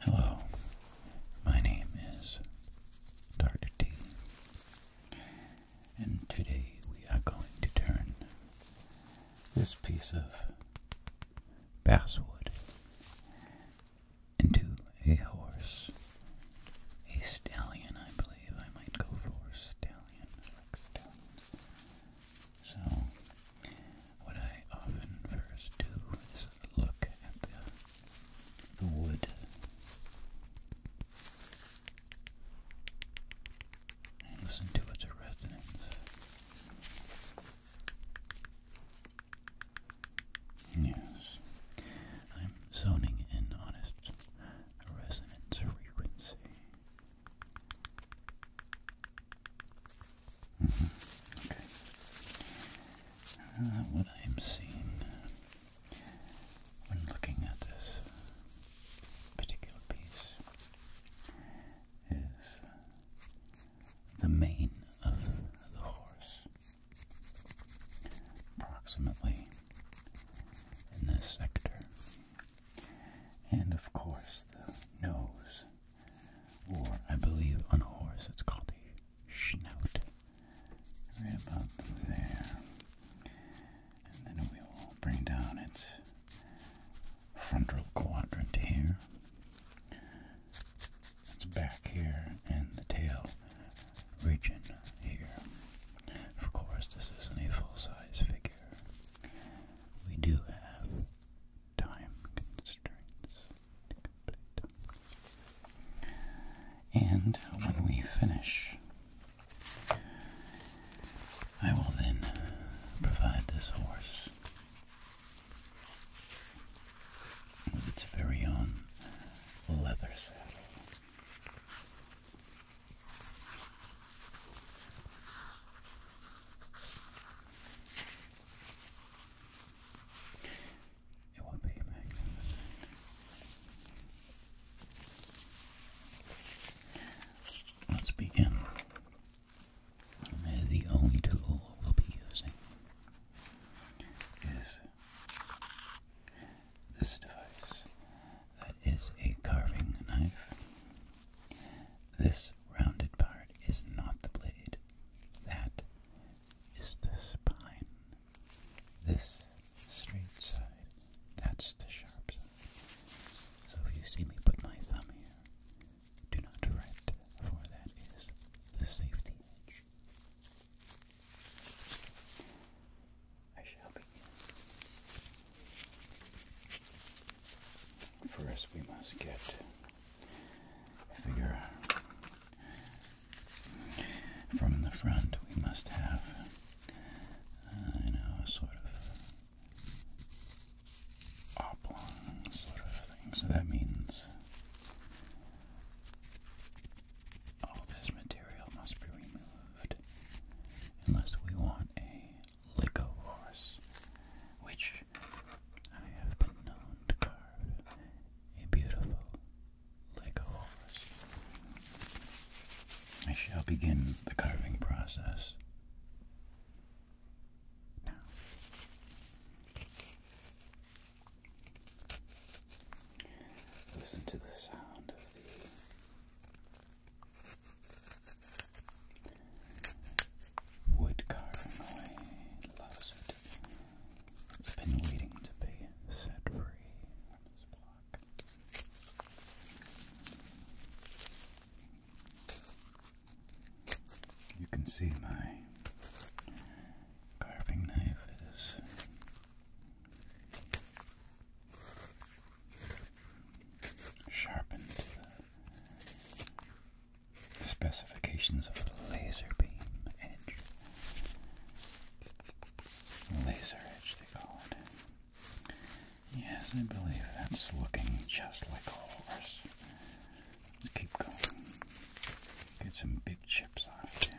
Hello, my name is Dr. T, and today we are going to turn this piece of basswood into a horse, a stallion, I believe I might go for a stallion. Like stallion. So, what I often first do is look at the, the wood and listen to its resonance. Yes, I'm zoning in on its resonance frequency. Mm-hmm. Uh, what I am seeing when looking at this particular piece is the mane of the horse, approximately in this sector. And of course, the nose, or I believe on a horse it's called a snout. Right about there. And then we will bring down its frontal quadrant here. It's back here and the tail region here. Of course, this isn't a full size figure we do have time constraints to complete. And when we finish, I will then provide this horse with its very own leather saddle. It will be magnificent. Let's begin. The only tool we'll be using is this device. That is a carving knife. This rounded part is not the blade. That is the spine. This straight side, that's the sharp side. So if you see me put my thumb here, do not direct, for that is the safety edge. I shall be First, we must get figure from the front. We must have, uh, you know, sort of oblong sort of thing. So that means all this material must be removed unless we want a Lego horse, which I have been known to carve a beautiful Lego horse. I shall begin the carving process now. Listen to the sound of the Wood carving loves it. It's been waiting to be set free on this block. You can see my carving knife is sharpened to the specifications of the laser beam edge. Laser edge, they call it. Yes, I believe that's looking just like a horse. Let's keep going. Get some big chips off here.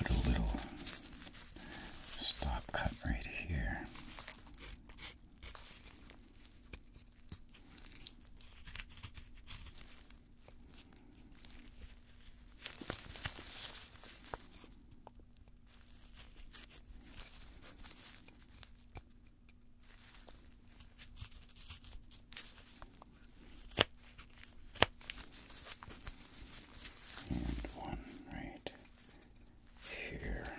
Let's put a little stop cut right here. And one right here.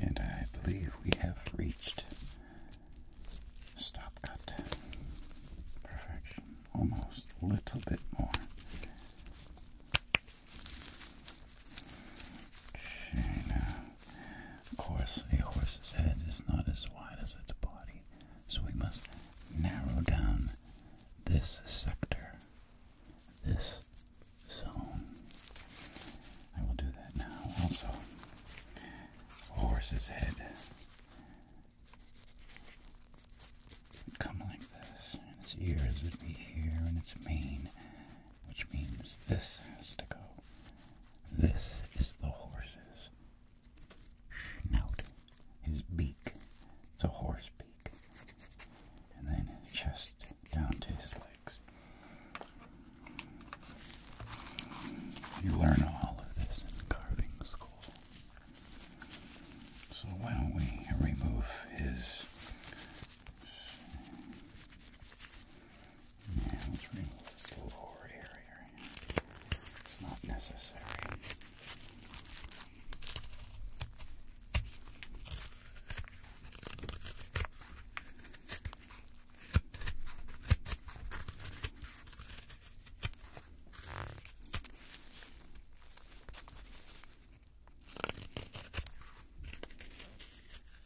And I believe we have reached stop cut perfection, almost a little bit more. Of course, a horse's head is not as wide as its body, so we must narrow down this sector, this zone. I will do that now also. Horse's head. It'd like this, and its ears would be here, and its mane, which means this has to go. This is the horse's snout, his beak. It's a horse beak. And then chest down to his legs. You learn all of this in carving school. So why don't we remove his now let's remove this lower area. It's not necessary.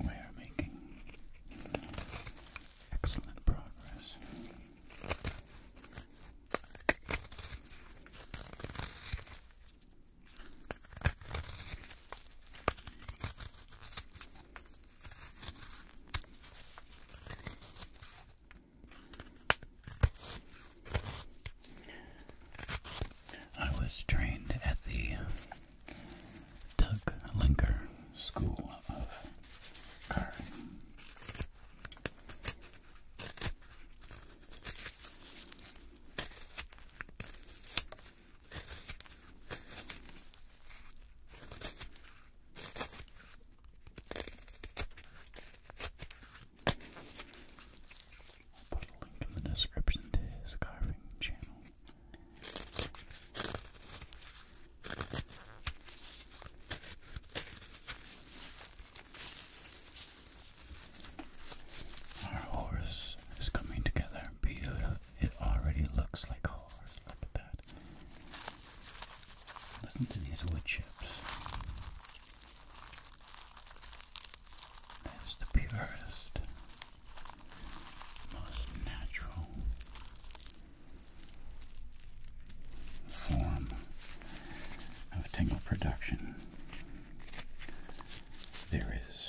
we are making excellent progress. I was trained at the Tug Linker School of Carving. I'll put a link in the description to his carving channel. Our horse is coming together beautiful. It already looks like a horse. Look at that. Listen to these wood chips. That's the purest most natural form of tingle production there is.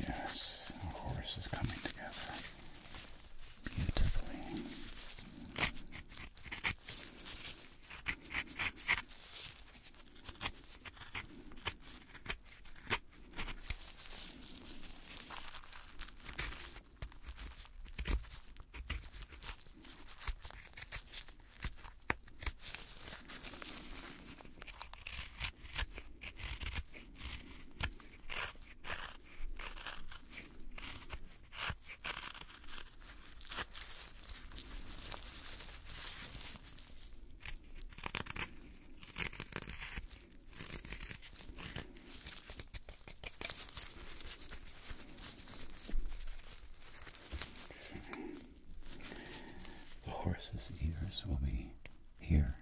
Yes, the horse is coming together beautifully. Good. The horse's ears will be here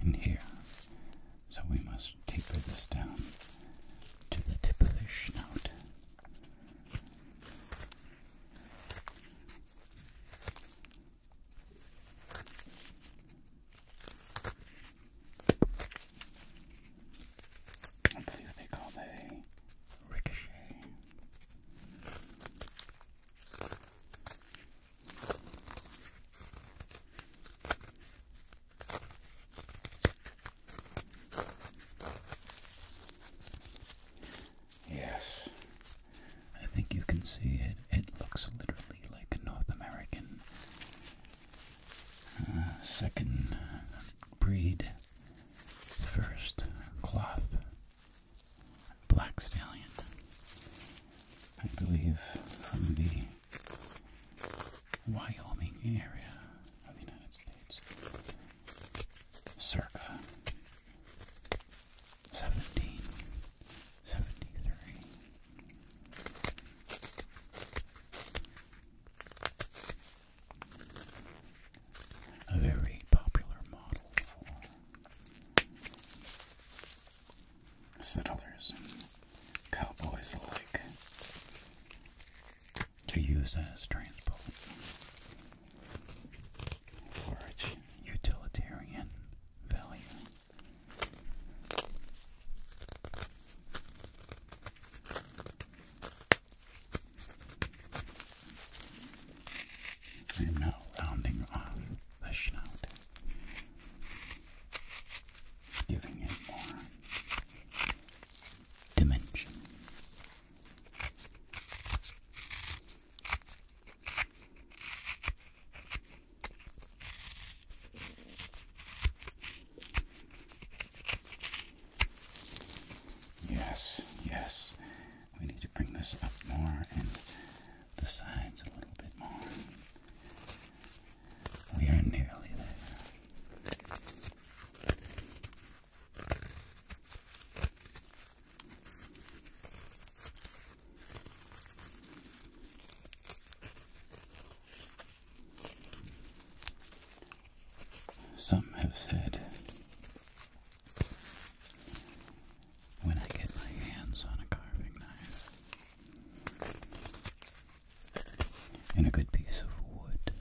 and here, so we must taper this down to the tip of his snout. I believe they call that a ricochet. Yes, I think you can see it. It looks literally like a North American uh, second breed, first cloth black stallion. I believe from the Wyoming area of the United States, circa 1773. A very popular model settlers and cowboys alike to use as transport for its utilitarian value. And now rounding off the snout giving it more dimension. Yes, yes. We need to bring this up more and the sides a little bit more. We are nearly there. Some have said when I get my hands on a carving knife, and a good piece of wood.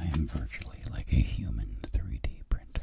I am virtually like a human 3D printer.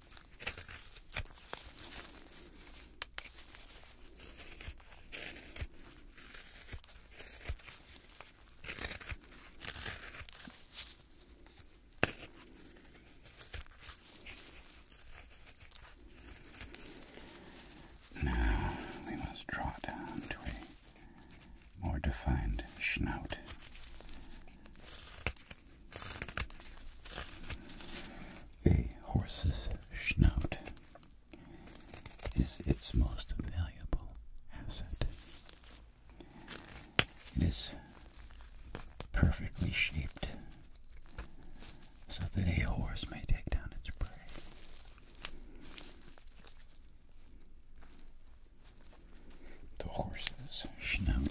Now we must draw down to a more defined snout. A horse's snout is its most valuable asset. It is perfectly shaped so that a horse may take down its prey. The horse's snout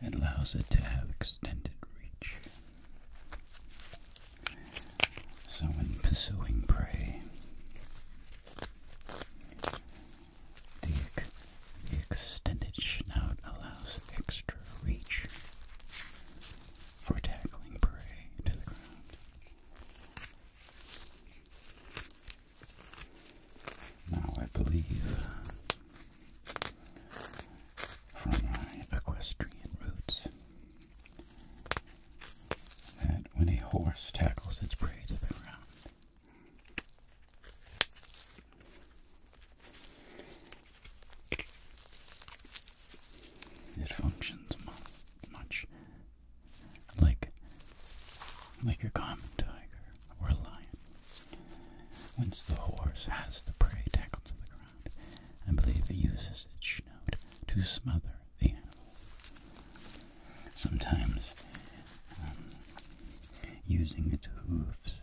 it allows it to have extended reach. So, in pursuing prey, the, the extended snout allows extra reach for tackling prey to the ground. Now, I believe from equestrian roots that when a horse tackles its prey to the ground, it functions much, like like a common tiger or lion. Once the horse has the prey tackled to the ground, I believe it uses its snout to smother the animal. Sometimes um, using its hooves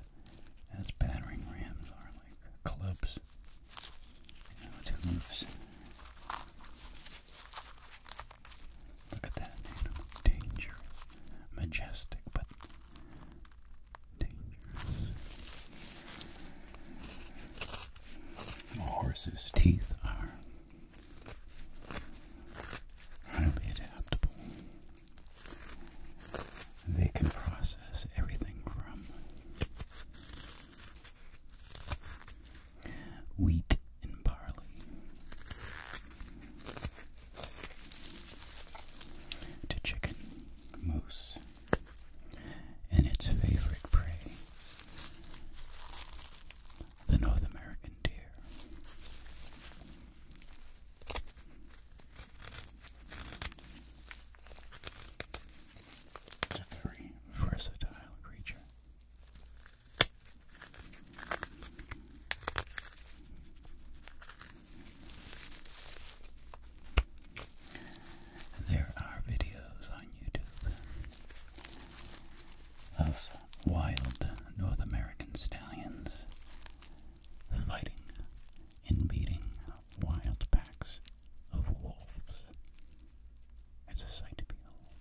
as battering rams are like clubs. its hooves Look at that animal. Dangerous. Majestic, but dangerous. A horse's teeth are highly adaptable. They can process everything from wheat and barley. To chicken, moose, and its favorite prey, the North American deer. It's a very versatile creature. There are videos on YouTube of wild North American stallions fighting and beating wild packs of wolves. It's a sight to behold.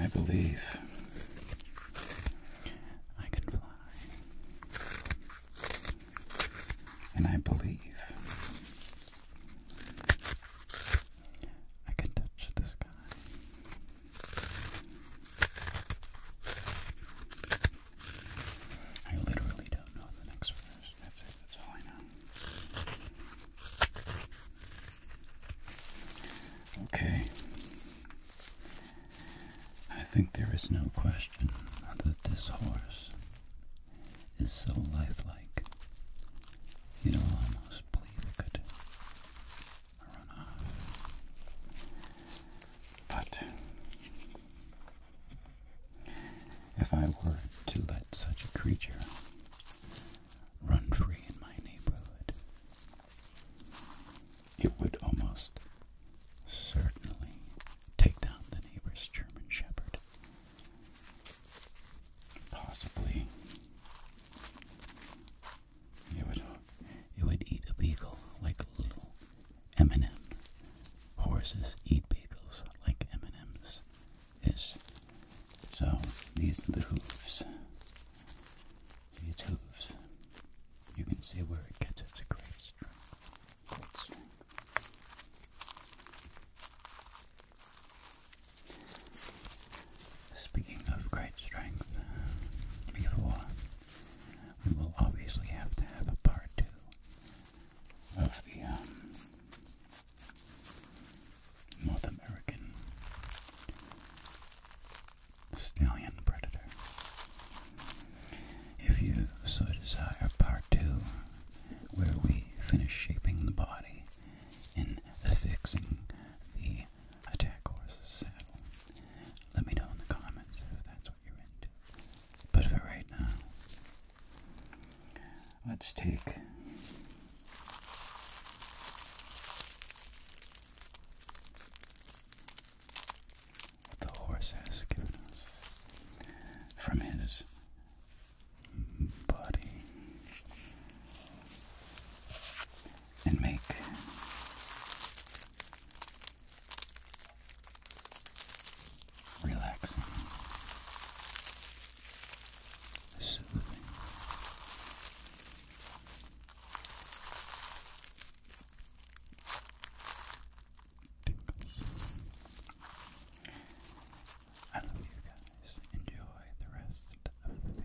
I believe I can fly, and I believe I can touch the sky. I literally don't know the next verse. That's it. That's all I know. Okay. I think there is no question that this horse is so lifelike. You know, almost believe But if I were to let such a creature run free in my neighborhood, it would almost certainly take down the neighbor's German Shepherd, possibly. It would, it would eat a beagle like little M&M. Horses eat bagels like M&Ms. Yes. So these are the hooves. See hooves. You can see where it gets its Great strength. Speaking of great strength, before we will obviously have to have a part two of the um, North American stallion predator. If you so desire, part two, where we finish shaping the body and affixing the attack horse's saddle. Let me know in the comments if that's what you're into. But for right now, let's take what the horse has given us from his body and make Relax. soothing. I love you guys. Enjoy the rest of the video.